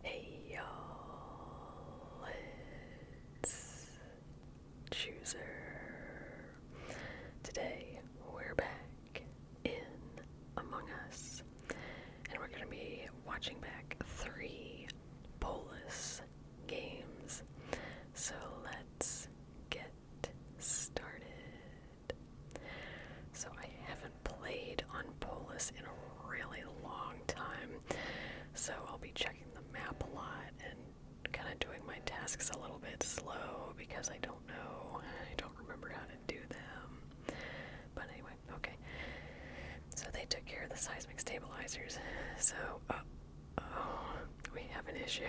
Hey y'all, it's Chooser. Today we're back in Among Us, and we're gonna be watching back three Polis games. So let's get started. So I have played on Polis in a really long time, so I'll be checking the map a lot and kind of doing my tasks a little bit slow because I don't know, I don't remember how to do them. But anyway, okay. So they took care of the seismic stabilizers. So, uh, oh, we have an issue.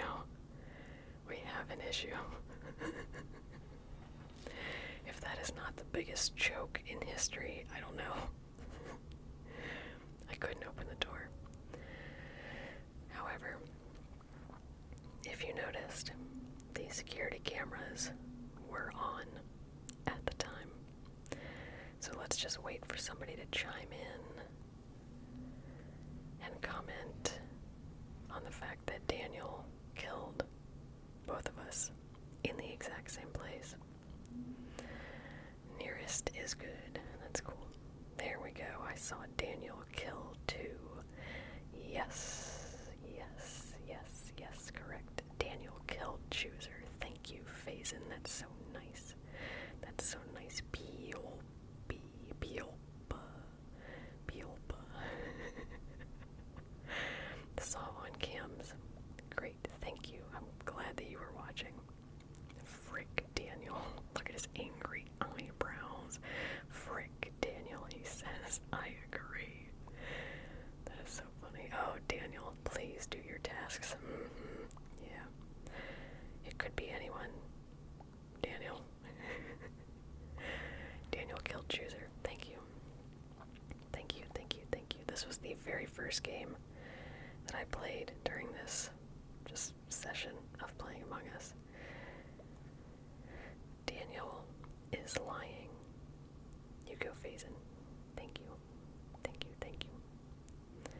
We have an issue. If that is not the biggest joke in history, I don't know. I couldn't open the door. However, if you noticed, the security cameras were on at the time. So let's just wait for somebody to chime in and comment on the fact that Daniel killed both of us, in the exact same place. Nearest is good. That's cool. There we go. I saw Daniel kill two. Yes, yes, yes, yes, correct. Daniel killed Chooser. Thank you, Phazin. That's so nice. That's so nice. P-O-B, P-O-B. Biolpa. Saw on cams. Great, thank you. I'm glad that you were watching. Frick Daniel. Look at his angry eyebrows. Frick Daniel, he says, I agree. That is so funny. Oh, Daniel, please do your tasks. Mm-hmm. Yeah. It could be anyone. Daniel. Daniel killed Chooser. Thank you. Thank you, thank you, thank you. This was the very first game that I played during this just session of playing Among Us. Daniel is lying. You go, Phazin. Thank you. Thank you, thank you.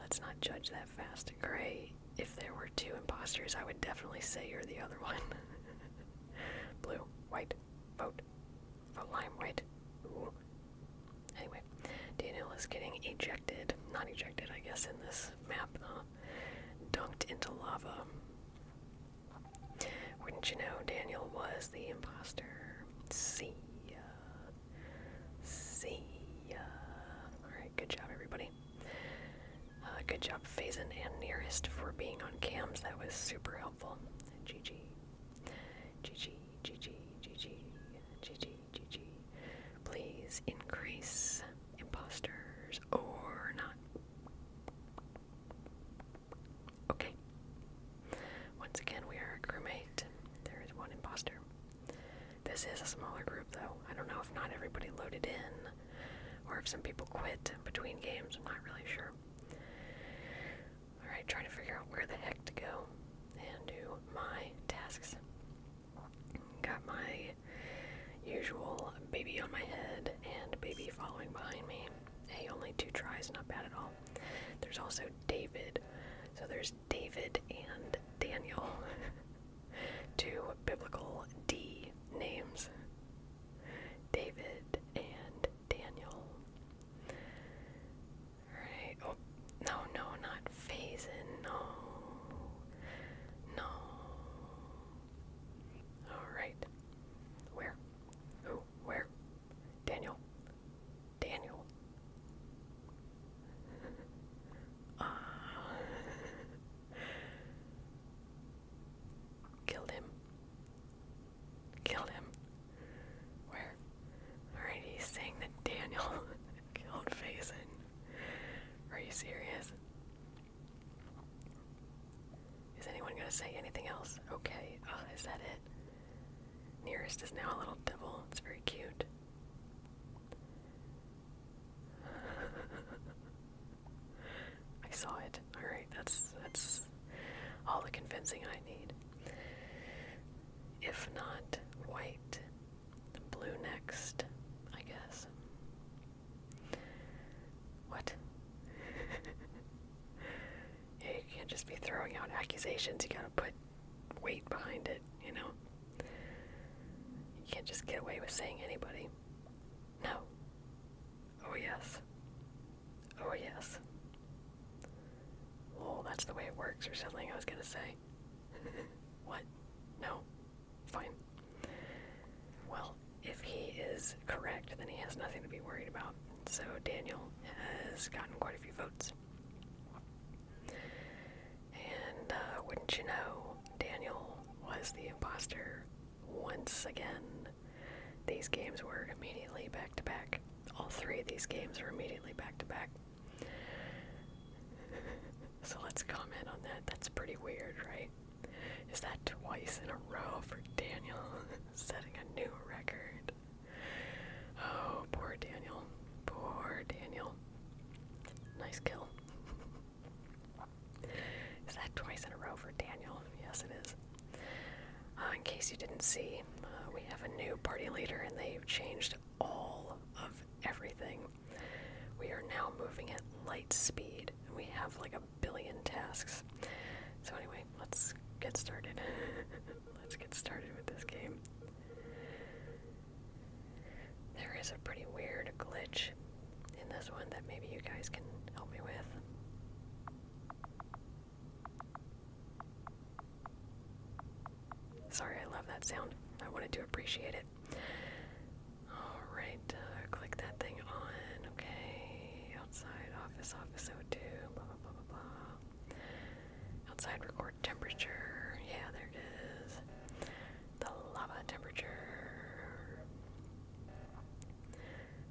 Let's not judge that fast. Gray, if there were two imposters, I would definitely say you're the other one. Blue, white, vote for lime white. Ooh. Anyway, Daniel is getting ejected, not ejected, I guess, in this map, dunked into lava. Wouldn't you know, Daniel was the imposter. See ya. See ya. Alright, good job, everybody. Uh, good job, Phazin and Nearest, for being on cams. That was super helpful. GG. GG, GG, GG, GG, GG. gg. Please increase imposters or not. Okay. Once again, we are a crewmate. There is one impostor. This is a smaller group, though. I don't know if not everybody loaded in or if some people quit between games. I'm not really sure. Alright, trying to figure out where the heck to go and do my tasks. Got my usual baby on my head and baby following behind me. Hey, only two tries, not bad at all. There's also David. So there's David and Daniel. two biblical D names David and Daniel. Alright, oh, no, no, not Phazin, no, no. Alright, where? Who? Where? Daniel? Daniel? Uh, Killed him. Killed him. Where? Alright, he's saying that Daniel killed Faison. Are you serious? Is anyone gonna say anything else? Okay, uh, is that it? Nearest is now a little devil. It's very cute. I saw it. All right, that's that's all the convincing I need. If not white, blue next, I guess. What? you can't just be throwing out accusations. You gotta put weight behind it, you know. You can't just get away with saying anybody. No. Oh, yes. Oh, yes. Oh, that's the way it works, or something I was gonna say. what? No? Fine. Well, if he is correct, then he has nothing to be worried about. So Daniel has gotten quite a few votes. And uh, wouldn't you know, Daniel was the imposter once again. These games were immediately back to back. All three of these games were immediately back to back. so let's comment on that. That's pretty weird, right? Is that twice in a row for Daniel setting a new record? Oh, poor Daniel. Poor Daniel. Nice kill. Is that twice in a row for Daniel? Yes, it is. Uh, in case you didn't see, uh, we have a new party leader and they've changed all of everything. We are now moving at light speed and we have like a billion tasks. So, anyway, let's get started. let's get started with this game. There is a pretty weird glitch in this one that maybe you guys can help me with. Sorry, I love that sound. I wanted to appreciate it. Alright, uh, click that thing on. Okay, outside office, office O2, blah blah blah blah blah. Outside record temperature. Yeah, there it is the lava temperature.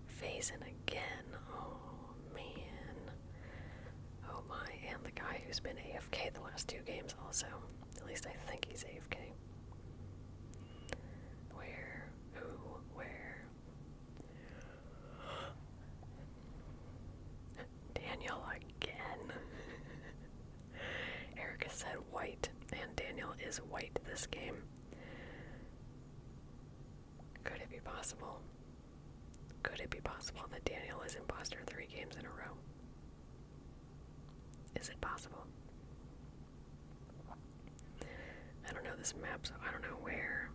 Phase in again. Oh man. Oh my, and the guy who's been AFK the last two games also. At least I think he's AFK. Where? Who? Where? Daniel again. Erica said white, and Daniel is white this game. Could it be possible? Could it be possible that Daniel is imposter three games in a row? Is it possible? I don't know this map, so I don't know where.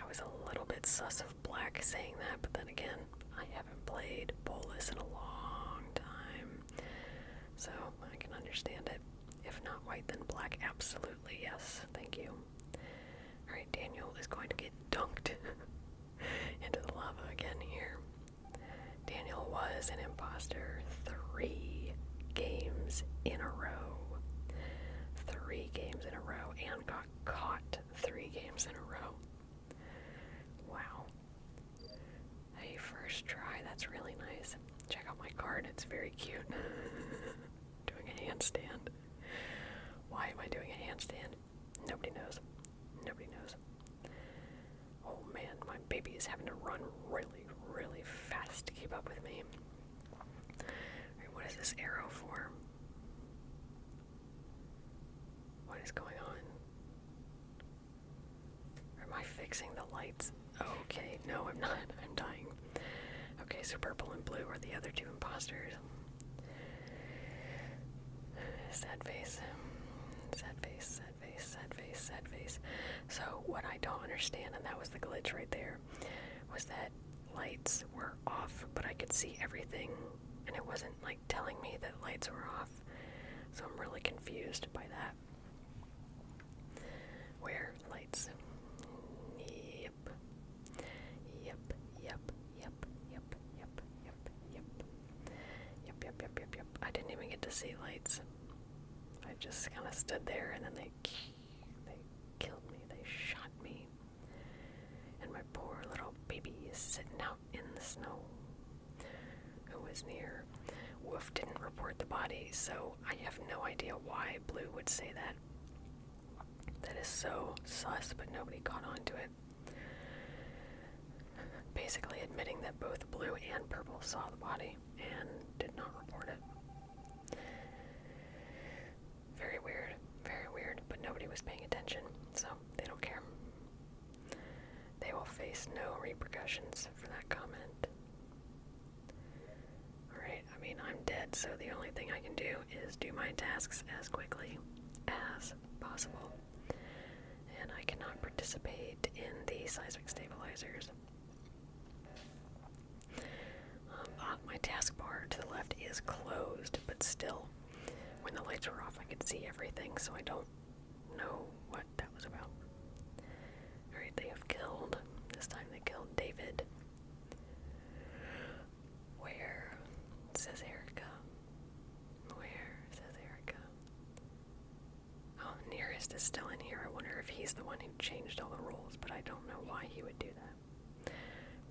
I was a little bit sus of black saying that, but then again, I haven't played bolus in a long time, so I can understand it. If not white, then black. Absolutely, yes. Thank you. Alright, Daniel is going to get dunked into the lava again here. Daniel was an imposter three games in a row. Three games in a row, and got caught three games in a row. Wow. Hey, first try, that's really nice. Check out my card, it's very cute. doing a handstand. Why am I doing a handstand? Nobody knows. Nobody knows. Oh man, my baby is having to run really, really fast to keep up with me. what is this arrow for? What is going on? Or am I fixing the lights? Okay, no, I'm not. I'm dying. Okay, so purple and blue are the other two imposters. Sad face. Sad face, sad face, sad face, sad face. So, what I don't understand, and that was the glitch right there, was that lights were off, but I could see everything, and it wasn't like like telling me that lights were off. So I'm really confused by that. Where lights? Yep. Yep, yep, yep, yep, yep, yep, yep. Yep, yep, yep, yep, yep. I didn't even get to see lights. I just kind of stood there and then they they killed me. They shot me. And my poor little baby is sitting out in the snow. Who was near? Wolf didn't report the body, so I have no idea why Blue would say that. That is so sus, but nobody caught on to it. Basically, admitting that both Blue and Purple saw the body and did not report it. Very weird, very weird, but nobody was paying attention, so they don't care. They will face no repercussions for that comment. Alright, I mean, I'm dead, so the only thing I can do is do my tasks as quickly as possible. And I cannot participate in the seismic stabilizers. Um, ah, my task bar to the left is closed, but still, when the lights were off, I could see everything, so I don't know what that was about. Alright, they have killed. This time they killed David. Where? Says Erica. Where? Says Erica. Oh, Nearest is still in here. I wonder if he's the one who changed all the rules, but I don't know why he would do that.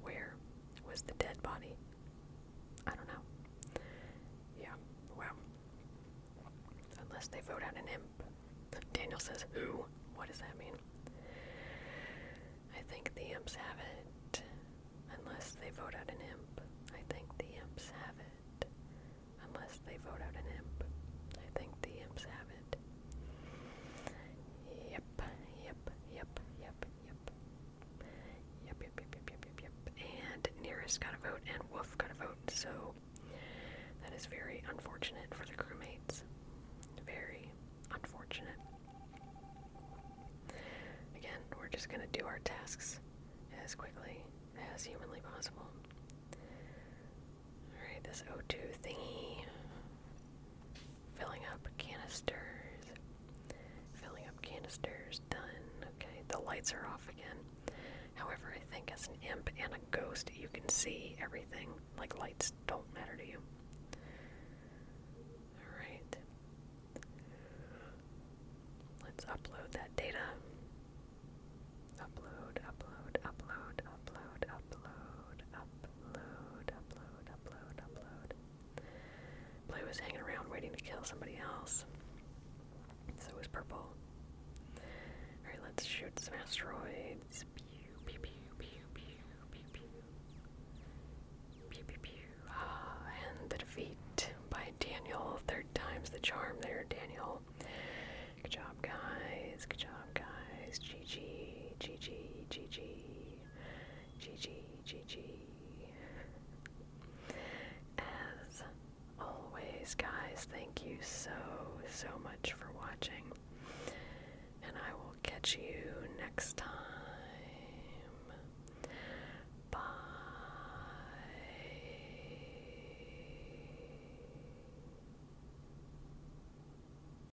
Where was the dead body? I don't know. Yeah, wow. Unless they vote out an imp. Daniel says, Who? What does that mean? I think the imps have it. Unless they vote out an imp. I think the imps have it. Unless they vote out an imp. I think the imps have it. Yep, yep, yep, yep yep, yep. Yep, yep, yep, yep, yep, And Nearest got a vote and Wolf got a vote, so that is very unfortunate for the crewmates. Very unfortunate. Again, we're just gonna do our tasks as quickly as humanly possible. Alright, this O2 thingy filling up canisters, filling up canisters, done. Okay, the lights are off again. However, I think as an imp and a ghost, you can see everything. Like lights don't matter to you. Alright. Let's upload that data. Upload, upload, upload, upload, upload, upload, upload, upload, upload, Blue was hanging around waiting to kill somebody else. So was purple. Alright, let's shoot some asteroids. Pew, pew, pew, pew, pew, pew, pew. Pew, Ah, and the defeat by Daniel. Third time's the charm there, Daniel. Good job, guys. Good job, guys. GG, GG, GG, GG. As always, guys, thank you so, so much for watching. And I will catch you next time. Bye.